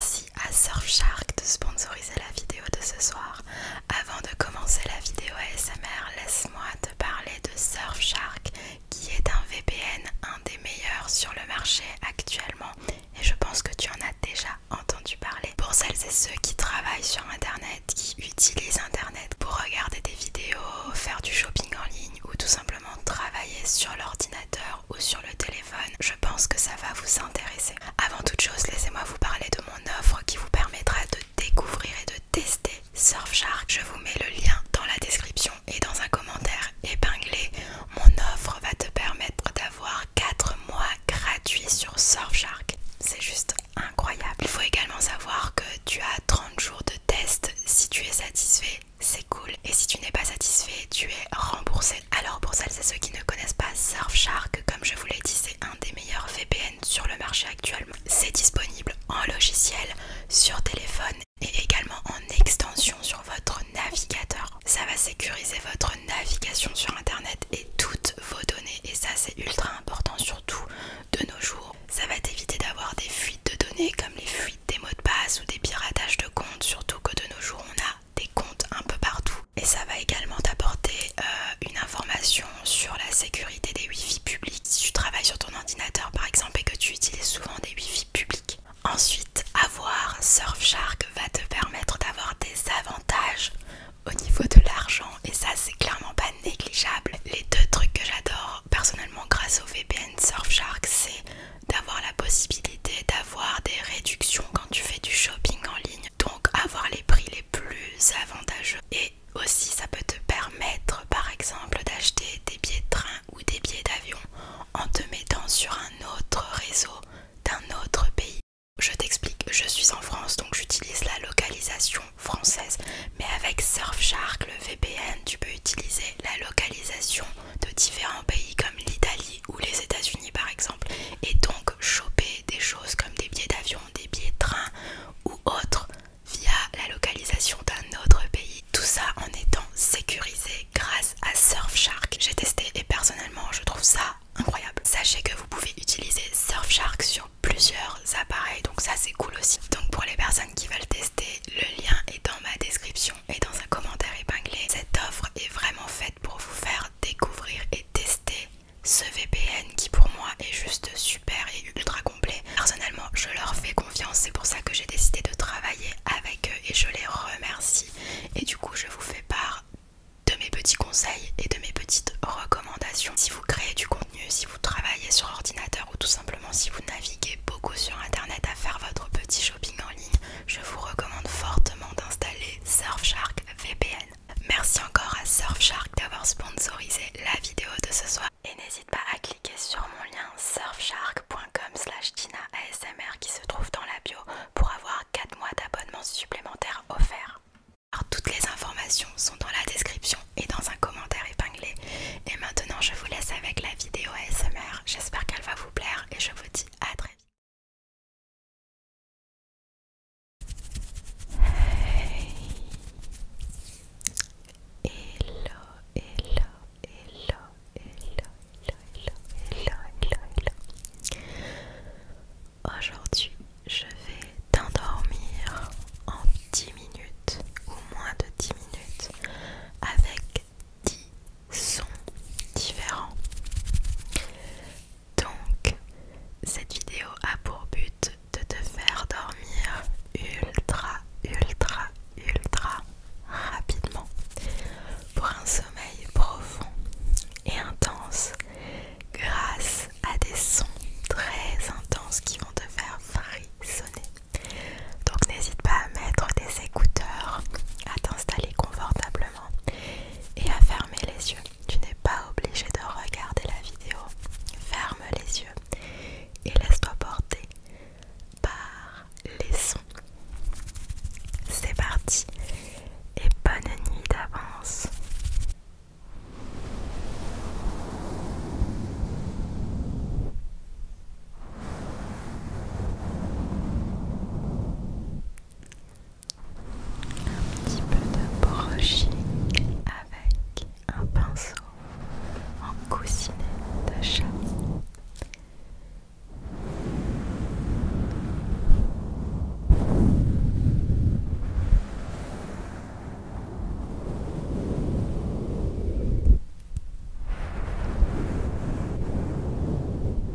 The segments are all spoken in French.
Merci à Surfshark de sponsoriser la vidéo de ce soir. Avant de commencer la vidéo ASMR, laisse-moi te parler de Surfshark qui est un VPN, un des meilleurs sur le marché actuellement et je pense que tu en as déjà entendu parler. Pour celles et ceux qui travaillent sur internet, qui utilisent internet pour regarder des vidéos, faire du shopping en ligne ou tout simplement travailler sur l'ordinateur ou sur le téléphone, je pense que ça va vous intéresser. Avant toute chose, laissez-moi vous parler de mon offre qui vous permettra de découvrir et de tester Surfshark. Je vous mets le lien dans la description et dans un commentaire épinglé. Mon offre va te permettre d'avoir 4 mois gratuits sur Surfshark. C'est juste incroyable. Il faut également savoir que tu as 30 jours de test. Si tu es satisfait, c'est cool. Et si tu n'es pas satisfait, tu es remboursé. Alors pour celles et ceux qui ne connaissent pas Surfshark, comme je vous l'ai dit, c'est un des meilleurs VPN sur le marché actuellement. C'est disponible en logiciel, sur téléphone et également en extension sur votre navigateur. Ça va sécuriser votre navigation sur Internet et toutes vos données. Et ça c'est ultra important surtout de nos jours. Ça va éviter d'avoir des fuites de données comme les fuites des mots de passe ou des piratages de comptes, surtout que de nos jours on a des comptes un peu partout et ça va également t'apporter euh, une information sur la sécurité des Wi-Fi publics si tu travailles sur ton ordinateur par exemple et que tu utilises souvent des Wi-Fi publics. Ensuite, avoir Surfshark va te permettre d'avoir des avantages au niveau de l'argent et ça c'est clairement pas négligeable. Les deux trucs que j'adore personnellement grâce au VPN Surfshark c'est d'avoir la possibilité d'avoir des réductions quand tu fais du shopping en ligne, donc avoir les prix les plus avantageux. Et aussi ça peut te permettre par exemple d'acheter des billets de train ou des billets d'avion en te mettant sur un autre réseau d'un autre pays. Je t'explique, je suis en France donc j'utilise la localisation française, mais avec Surfshark, le VPN, tu peux utiliser la localisation de différents pays comme l'Italie, ou les États-Unis par exemple, et donc choper des choses comme des billets d'avion, des billets de train ou autres via la localisation d'un autre pays. Tout ça en étant sécurisé grâce à Surfshark. J'ai testé et personnellement je trouve ça incroyable. Sachez que vous pouvez utiliser Surfshark sur plusieurs appareils, donc ça c'est cool aussi. Donc pour les personnes qui veulent tester, le lien est dans ma description et dans un commentaire épinglé. Cette offre est vraiment faite pour vous faire découvrir et tester ce VPN qui pour moi est juste super et ultra complet. Personnellement, je leur fais confiance, c'est pour ça que j'ai décidé de travailler avec eux et je les remercie. Et du coup, je vous fais part de mes petits conseils et de mes petites recommandations. Si vous créez du contenu, si vous travaillez sur ordinateur ou tout simplement si vous naviguez beaucoup sur internet à faire votre petit shopping en ligne, je vous recommande fortement d'installer Surfshark VPN. Merci encore à Surfshark d'avoir sponsorisé la vidéo de ce soir. Et n'hésite pas à cliquer sur mon lien surfshark.com slash ASMR qui se trouve dans la bio pour avoir 4 mois d'abonnement supplémentaire offert. toutes les informations sont dans la description et dans un commentaire épinglé. Et maintenant je vous laisse avec la vidéo ASMR. J'espère qu'elle va vous plaire et je vous dis à très vite. Hey. Hello, hello, hello, hello, hello, hello, hello, hello. Aujourd'hui, je vais t'endormir en 10 minutes ou moins de 10 minutes avec 10 sons différents. Donc, cette vidéo a pour but de te faire dormir ultra, ultra, ultra rapidement pour un sommeil profond et intense grâce à des sons très intenses qui vont te faire frissonner. Donc n'hésite pas à mettre des écouteurs, à t'installer confortablement et à fermer les yeux. Tu n'es pas obligé de regarder la vidéo. Ferme les yeux et laisse-toi porter par les sons. C'est parti et bonne nuit d'avance un petit peu de brushing avec un pinceau en coussinet de chat.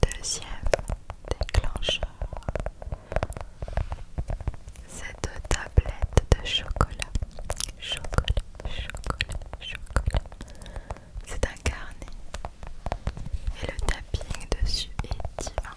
Deuxième déclencheur, cette tablette de chocolat. Chocolat, chocolat, chocolat. C'est un carnet et le tapping dessus est divin.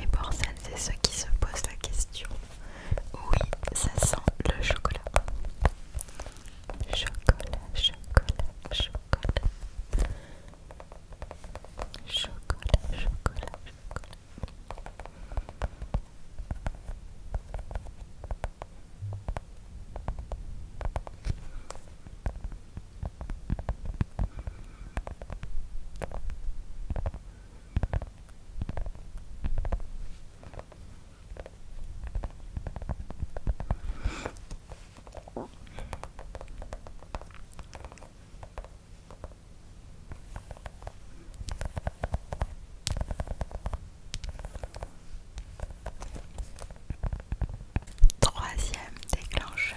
Et pour celles et ceux qui se posent la question, oui, ça sent le chocolat. Chocolat, chocolat, chocolat. Chocolat, chocolat, chocolat. Chocolat, Troisième déclencheur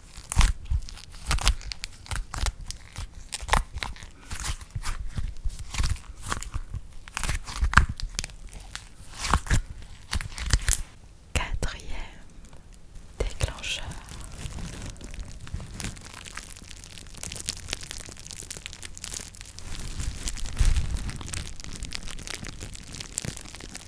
Quatrième déclencheur.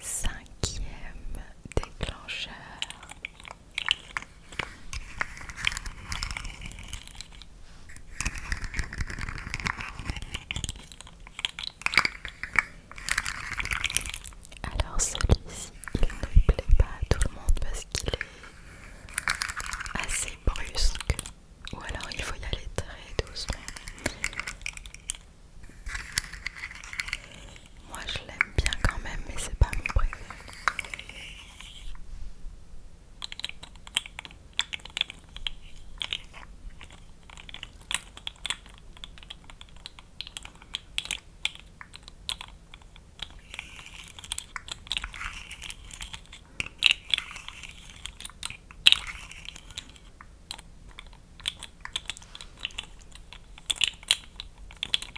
Cinquième déclencheur. Alors celui-ci, il ne plaît pas à tout le monde parce qu'il est assez brusque. Ou alors il faut y aller très doucement. Moi je l'aime bien quand même, mais c'est pas mon préféré.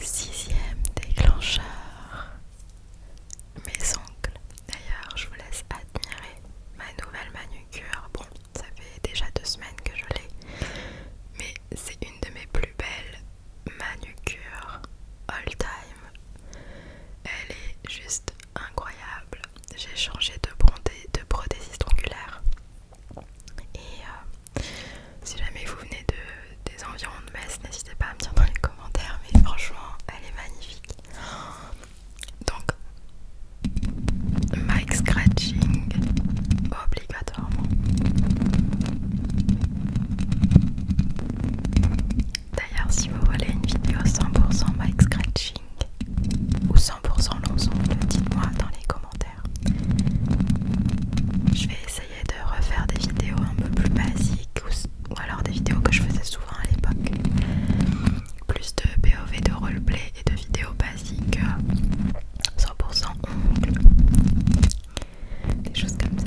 Sixième déclencheur. Mes ongles. D'ailleurs, je vous laisse admirer ma nouvelle manucure. Bon, ça fait déjà deux semaines que je l'ai. Mais c'est une de mes plus belles manucures all time. Elle est juste incroyable. J'ai changé de, de prothésiste ongulaire. Et euh, si jamais vous venez de, des environs de Metz, n'hésitez pas à me dire dans les commentaires, mais franchement, elle est magnifique. Donc, mic scratching obligatoirement. D'ailleurs, si vous voulez une vidéo 100% mic scratching ou 100% l'ensemble, dites-moi dans les commentaires. Je vais essayer de refaire des vidéos un peu plus basiques ou, alors des vidéos que je faisais souvent à l'époque. Plus de POV de roleplay et de vidéos basiques 100% euh, Des choses comme ça.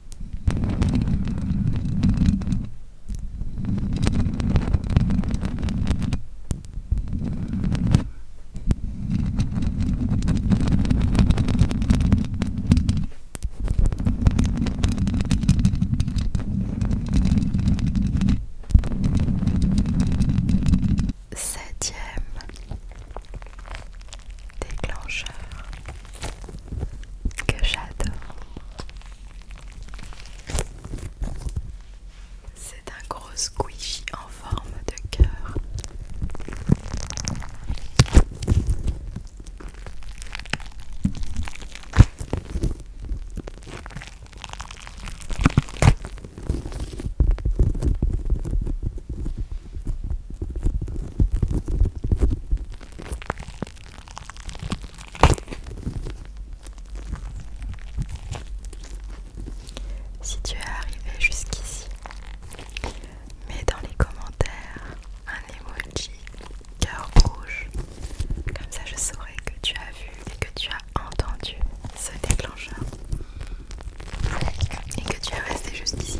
Septième déclencheur que j'adore. C'est un gros squishy en forme de cœur. Si tu es arrivé jusqu'ici, mets dans les commentaires un emoji cœur rouge. Comme ça je saurai que tu as vu et que tu as entendu ce déclencheur. Et que tu es resté jusqu'ici.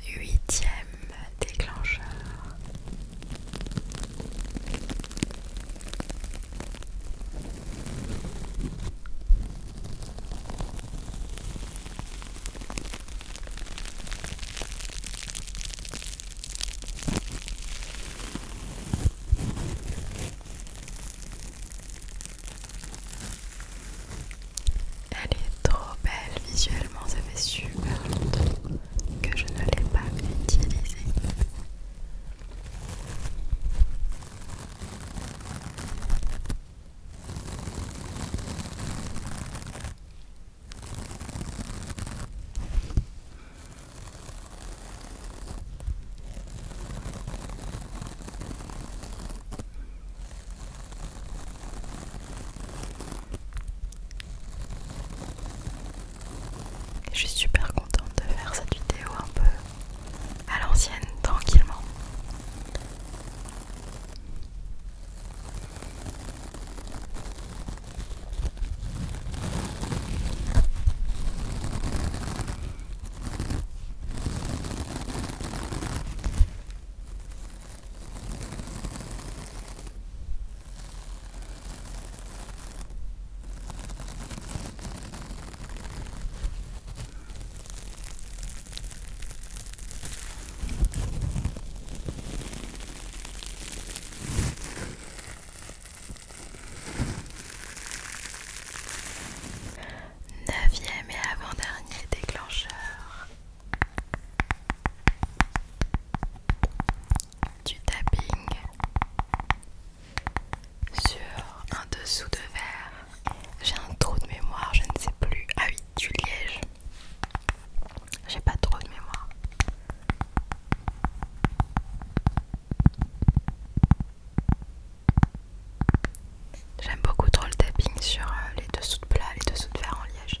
huitième déclencheur. Elle est trop belle visuellement, ça fait super longtemps que je ne l'ai pas utilisée. Je suis super contente de faire cette vidéo un peu à l'ancienne, tranquillement. Neuvième et avant-dernier déclencheur, du tapping sur un dessous de verre. J'ai un trou de mémoire, je ne sais plus. Ah oui, du liège. J'ai pas trop de mémoire. J'aime beaucoup trop le tapping sur euh, les dessous de plat, les dessous de verre en liège.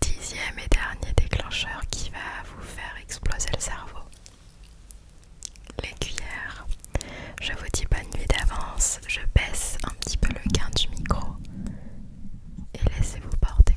Dixième et dernier déclencheur qui va vous faire exploser le cerveau. Les cuillères. Je vous dis bonne nuit d'avance, je baisse un petit peu le gain du micro et laissez-vous porter.